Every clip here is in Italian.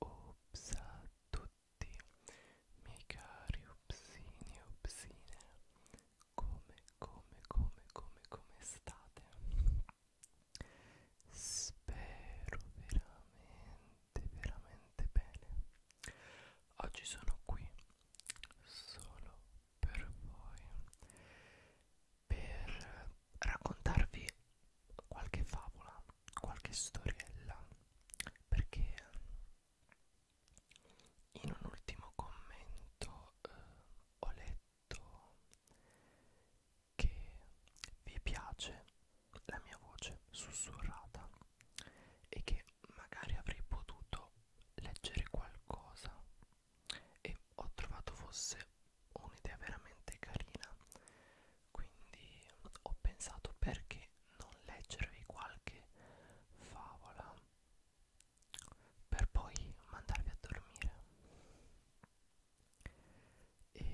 Ups a tutti, miei cari upsini e upsine, come, come, come, come, come state? Spero veramente, veramente bene. Oggi sono qui solo per voi per raccontarvi qualche favola, qualche storiella perché in un ultimo commento eh, ho letto che vi piace la mia voce sussurrata e che magari avrei potuto leggere qualcosa e ho trovato fosse un'idea veramente carina quindi ho pensato perché non leggervi qualche favola per poi mandarvi a dormire e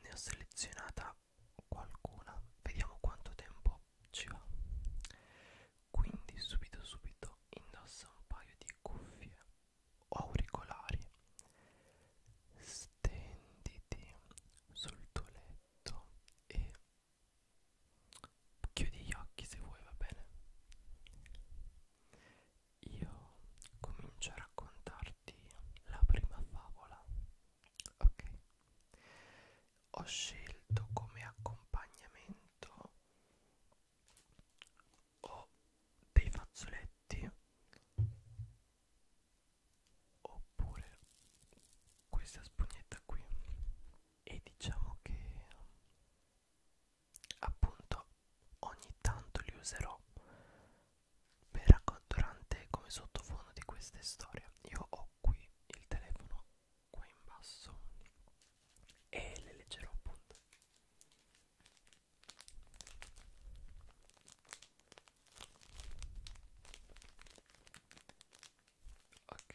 ne ho selezionata qualcuna vediamo quanto tempo ci va quindi subito subito indossa un paio di cuffie o auricolari stenditi sul tuo letto e chiudi gli occhi se vuoi va bene io comincio a raccontarti la prima favola ok ho scelto come accompagnamento o dei fazzoletti oppure questa spugnetta qui e diciamo che appunto ogni tanto li userò per durante come sottofondo di queste storie io ho qui il telefono qua in basso e le leggerò appunto ok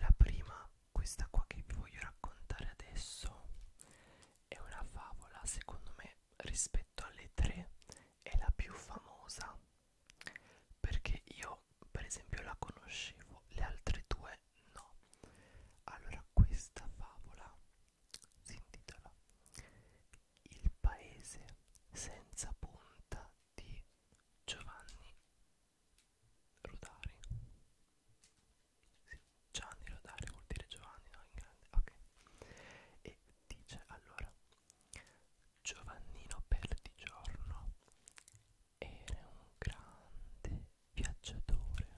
la prima questa qua che vi voglio raccontare adesso è una favola secondo me rispetto alle tre è la più famosa perché io per esempio la conoscevo le altre due no allora questa favola si intitola il paese senza punta di Giovanni Rodari sì, Gianni Rodari vuol dire Giovanni no in grande ok e dice allora Giovannino Perdigiorno era un grande viaggiatore.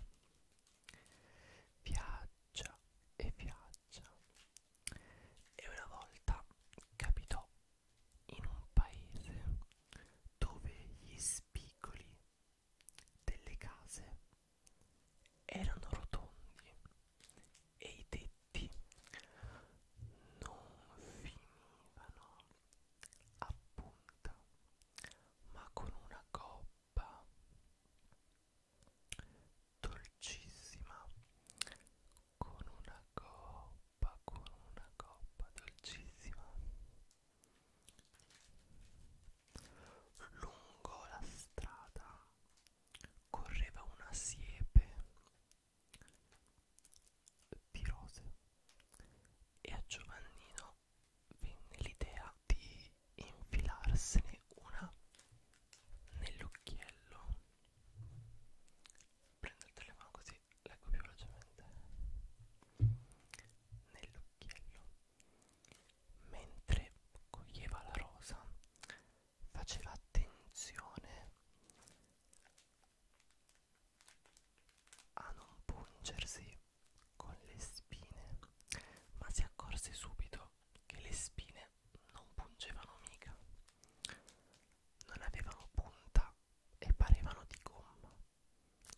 Viaggia e viaggia. E una volta capitò in un paese dove gli spigoli delle case erano rotondi e i tetti tutti non finivano a punta, ma con una coppa dolcissima, con una coppa, con una coppa dolcissima lungo la strada correva una siepe di rose e a Giovannino venne l'idea di infilarsene una nell'occhiello prendo il telefono così leggo più velocemente nell'occhiello mentre coglieva la rosa faceva attenzione a non pungersi con le spine, ma si accorse subito che le spine non pungevano mica, non avevano punta e parevano di gomma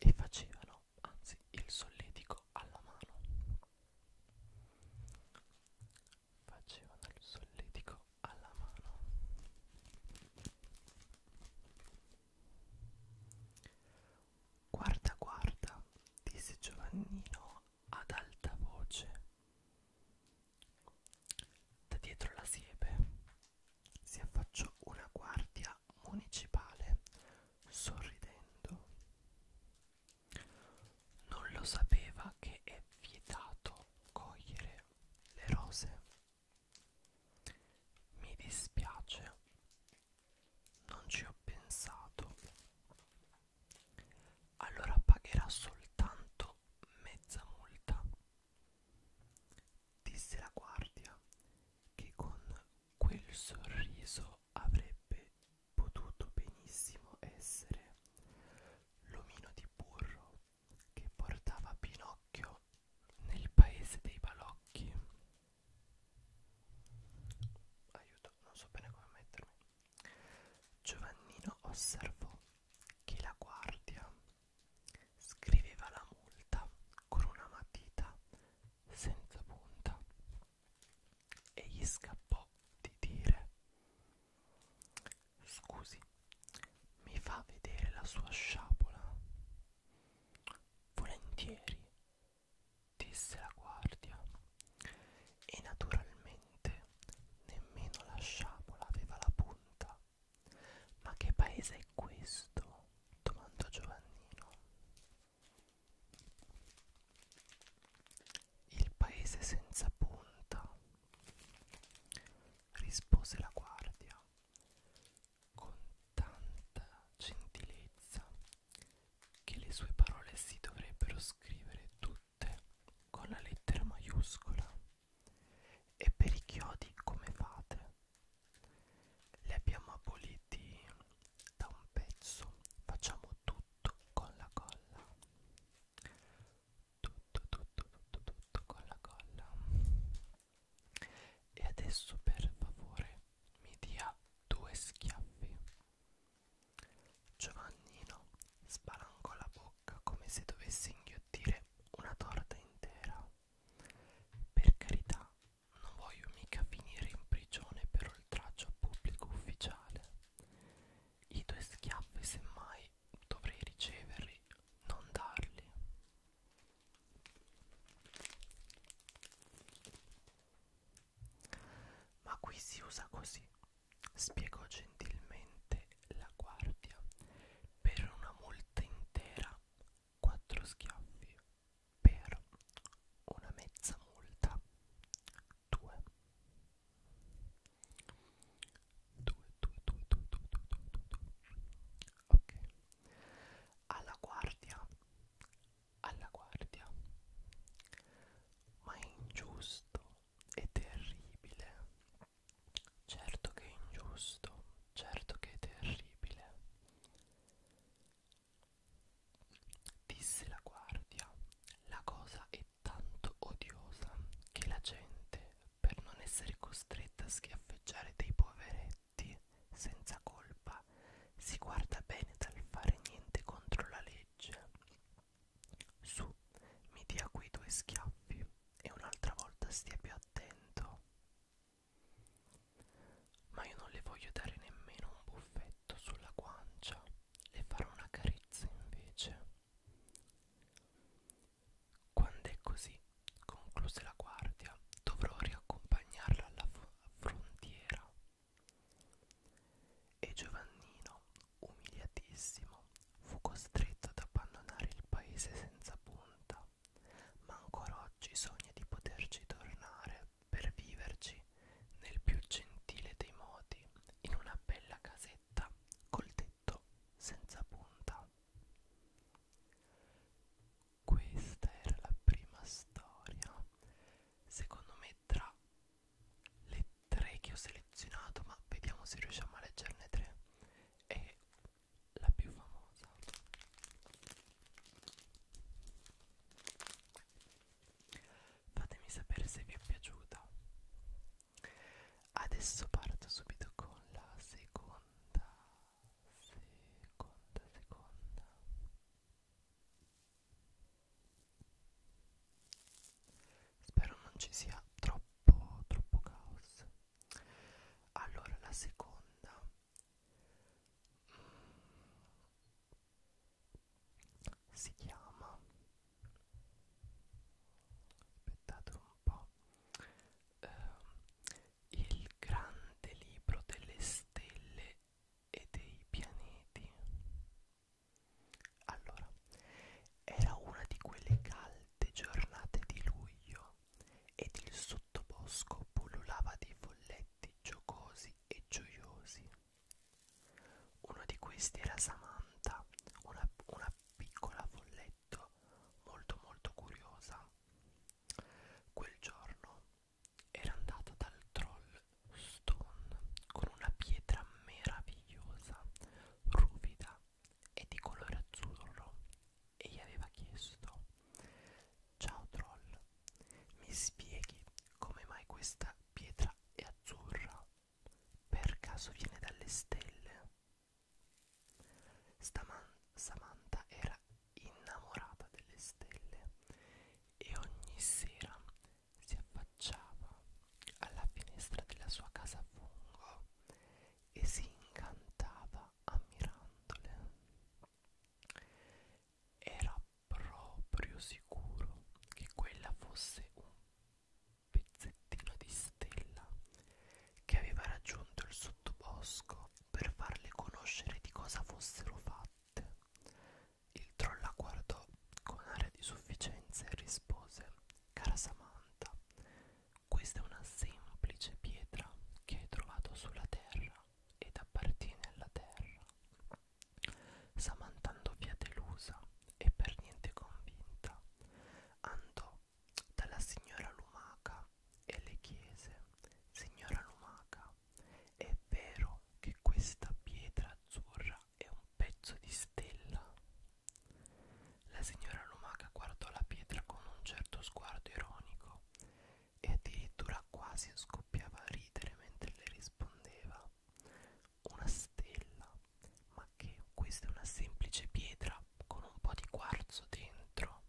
e facevano anzi il solletico alla mano facevano il solletico alla mano guarda guarda disse Giovannino ad alta voce da dietro la siepe si affacciò una guardia municipale sorridendo non lo sapeva che è vietato cogliere le rose. Mi dispiace, non ci ho pensato. Allora pagherà soltanto mezza multa, disse la guardia, che con quel sorriso avrebbe potuto benissimo essere l'omino di burro che portava Pinocchio nel paese dei balocchi. Aiuto, non so bene come mettermi. Giovannino osservò che la guardia scriveva la multa con una matita senza punta e gli scappò di dire Scusi, mi fa vedere la sua sciabola? Volentieri, disse la guardia. E naturalmente nemmeno la sciabola aveva la punta. Ma che paese è questo? domandò Giovannino. Il paese senza punta, rispose la guardia con tanta gentilezza che le sue parole si dovrebbero scrivere tutte con la lettera maiuscola e per i chiodi come fate li abbiamo aboliti da un pezzo facciamo tutto con la colla tutto tutto tutto tutto con la colla e adesso per favore mi dia due schiaffi Giovannino spalancò la bocca come se dovesse inghiottire una torta intera per carità non voglio mica finire in prigione per oltraggio a pubblico ufficiale i tuoi schiaffi semmai dovrei riceverli, non darli. Ma qui si usa così, spiegò gentilmente la guardia. Per una multa intera, quattro schiaffi. Per una mezza multa, 2 2 2 2 2 2 ok alla guardia alla guardia ma è ingiusto è terribile certo che è ingiusto certo che è terribile disse la guardia la cosa è tanto odiosa che la gente, per non essere costretta a schiaffeggiare dei poveretti senza colpa, si guarda bene dal fare niente contro la legge. Su, mi dia qui due schiaffi e un'altra volta stia più attento. Ma io non le voglio dare nemmeno un buffetto sulla guancia e farò una carezza invece. Quando è così, concluse la guardia, dovrò riaccompagnarla alla frontiera. E Giovannino, umiliatissimo, fu costretto ad abbandonare il paese senza punta, ma ancora oggi sogna di poterci tornare per viverci nel più gentile dei modi in una bella casetta col tetto senza punta. Questa era la prima storia, secondo me tra le tre che ho selezionato, ma vediamo se riusciamo a leggerne tre. È la più famosa fatemi sapere se vi è piaciuta adesso parto subito con la seconda seconda seconda spero non ci sia troppo troppo caos allora la seconda si chiama aspettate un po' eh, il grande libro delle stelle e dei pianeti allora era una di quelle calde giornate di luglio ed il sottobosco pullulava di folletti giocosi e gioiosi uno di questi era Samantha, una, una piccola folletto molto molto curiosa. Quel giorno era andato dal troll Stone con una pietra meravigliosa, ruvida e di colore azzurro e gli aveva chiesto Ciao troll, mi spieghi come mai questa pietra è azzurra? Per caso viene dalle stelle? Staman Samantha era innamorata delle stelle e ogni sera si affacciava alla finestra della sua casa a fungo e si incantava ammirandole era proprio sicuro che quella fosse un pezzettino di stella che aveva raggiunto il sottobosco per farle conoscere di cosa fossero fatte. Il troll la guardò con aria di sufficienza e rispose Cara Samantha, questa è una semplice pietra che hai trovato sulla terra ed appartiene alla terra. Samantando via delusa e per niente convinta, andò dalla signora Lumaca e le chiese, signora Lumaca, è vero che questa pietra azzurra è un pezzo di stella? La signora Lumaca guardò la pietra con un certo sguardo ironico e addirittura quasi scoppiava a ridere mentre le rispondeva. Una stella, ma che questa è una semplice pietra con un po' di quarzo dentro,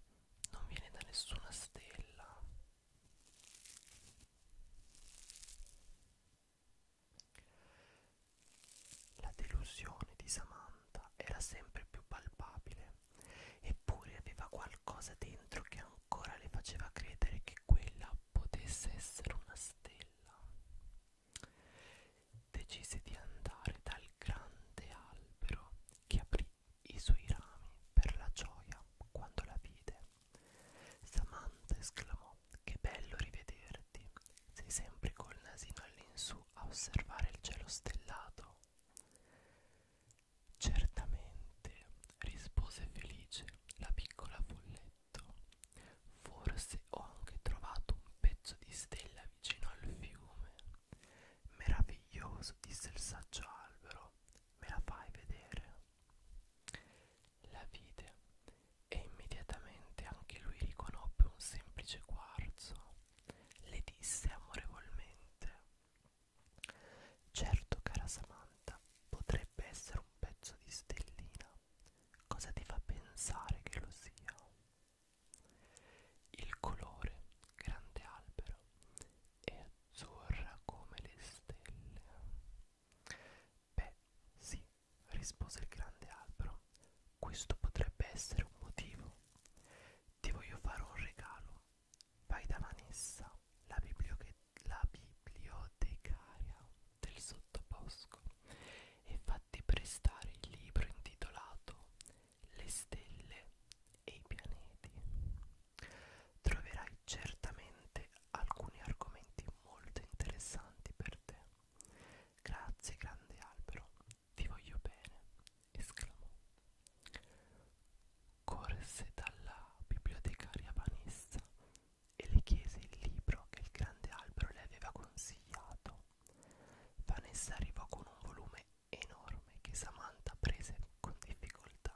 non viene da nessuna stella. La delusione di Samantha era sempre più palpabile eppure aveva qualcosa dentro che ancora le faceva credere che quella potesse essere una stella. Decise di andare dal grande albero che aprì i suoi rami per la gioia quando la vide. Samantha esclamò: Che bello rivederti! Sei sempre col nasino all'insù a osservare il cielo stellato. Certamente, rispose felice la piccola folletto. Forse ho anche trovato un pezzo di stella vicino al fiume. Meraviglioso, disse il saggio albero. Me la fai vedere? La vide e immediatamente anche lui riconobbe un semplice quarzo. Le disse amorevolmente: Certo, cara Samantha, potrebbe essere un pezzo di stellina. Cosa ti fa pensare che lo sia? Il colore, grande albero, è azzurra come le stelle. Beh, sì, rispose il grande albero, questo potrebbe essere un motivo. Ti voglio fare un regalo Vai da Vanessa, la, la bibliotecaria del sottobosco, e fatti prestare il libro intitolato Le stelle e i pianeti. Troverai certamente alcuni argomenti molto interessanti per te. Grazie grande albero, ti voglio bene, esclamò. Corse dalla bibliotecaria Vanessa e le chiese il libro che il grande albero le aveva consigliato. Vanessa arrivò con un volume enorme che Samantha prese con difficoltà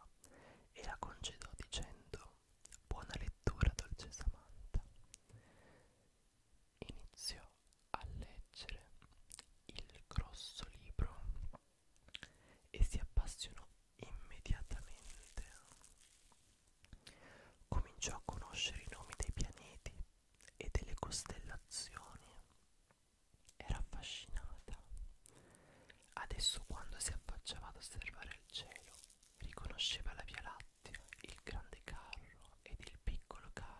e la congedò dicendo Buona lettura, dolce Samantha. Iniziò a leggere il grosso libro e si appassionò immediatamente. Cominciò a conoscere i nomi dei pianeti e delle costellazioni. Era affascinata. Adesso quando si affacciava ad osservare il cielo, riconosceva la Via Lattea, il grande carro ed il piccolo carro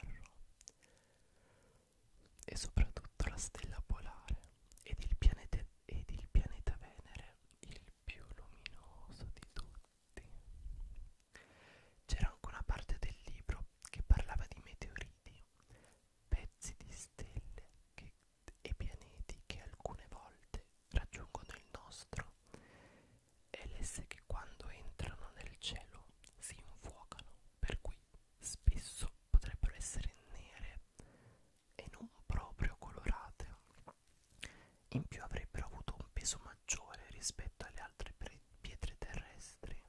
e soprattutto la stella polare ed il, pianete, ed il pianeta Venere, il più luminoso di tutti. C'era anche una parte del libro che parlava di meteoriti, pezzi di stelle che, e pianeti che alcune volte raggiungono il nostro e l'esse che quando entrano nel cielo si infuocano, per cui spesso potrebbero essere nere e non proprio colorate. In più avrebbero avuto un peso maggiore rispetto alle altre pietre terrestri.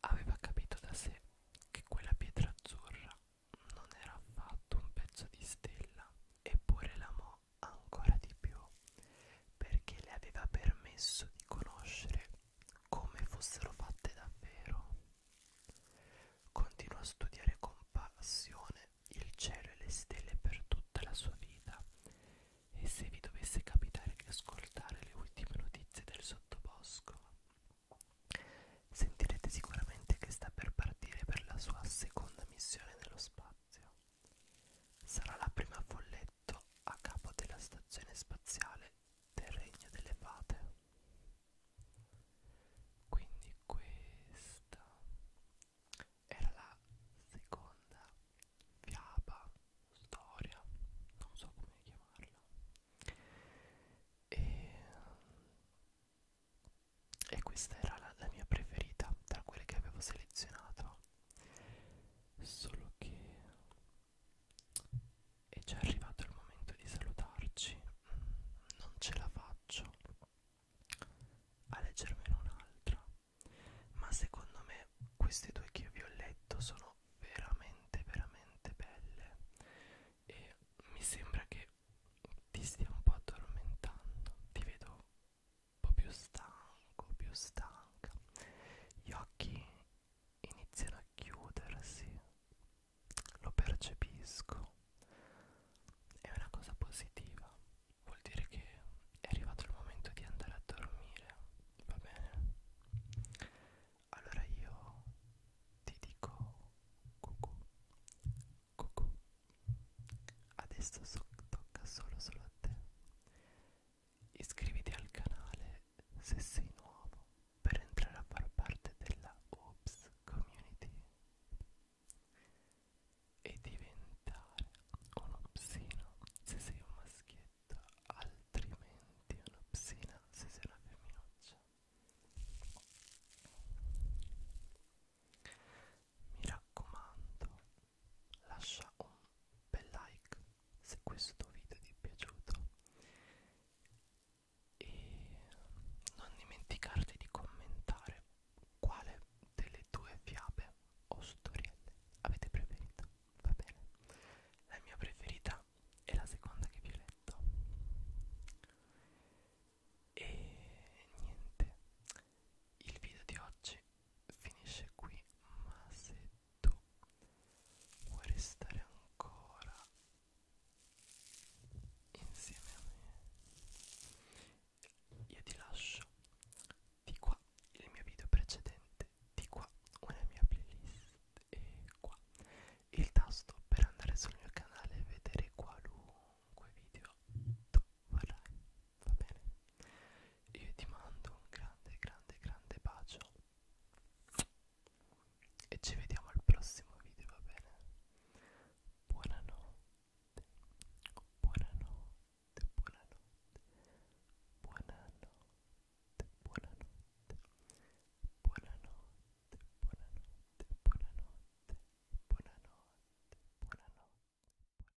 Aveva capito da sé che quella pietra azzurra non era affatto un pezzo di stella, eppure l'amò ancora di più perché le aveva permesso di conoscere come fossero fatte davvero. Continuò a studiare con passione il cielo e le stelle per tutta la sua vita e se vi dovesse capitare di ascoltare le ultime notizie del sottobosco, sentirete sicuramente che sta per partire per la sua seconda missione nello spazio. Sarà la prima follettata eletto a capo della stazione spaziale del Regno delle Fate. Quindi questa era la seconda fiaba, storia, non so come chiamarla. E, e questa era la, la mia preferita tra quelle che avevo selezionato. Solo che è già arrivato il momento di salutarci non ce la faccio a leggermene un'altra ma secondo me queste due che vi ho letto sono veramente veramente belle e mi sembra che ti stia un po' addormentando ti vedo po' più stanco, più stanca, gli occhi iniziano a chiudersi, lo percepisco, è una cosa positiva, vuol dire che è arrivato il momento di andare a dormire, va bene? Allora io ti dico cucù, cucù, adesso so tocca solo solo a te Iscriviti al canale se sei nuovo per entrare a far parte della Ops Community e diventare un opsino se sei un maschietto, altrimenti un'opsina se sei una femminuccia. Mi raccomando, lascia un bel like se questo video ti è piaciuto e non dimenticarti di commentare quale delle due fiabe o storielle avete preferito va bene la mia preferita è la seconda che vi ho letto e niente il video di oggi finisce qui ma se tu vuoi restare ancora insieme a me io ti lascio di qua il mio video precedente di qua una mia playlist e qua il tasto per andare sul mio canale e vedere qualunque video tu vorrai va bene io ti mando un grande grande grande bacio e ci vediamo al prossimo video va bene buonanotte buonanotte buonanotte buonanotte buonanotte buonanotte buonanotte buonanotte buonanotte buonanotte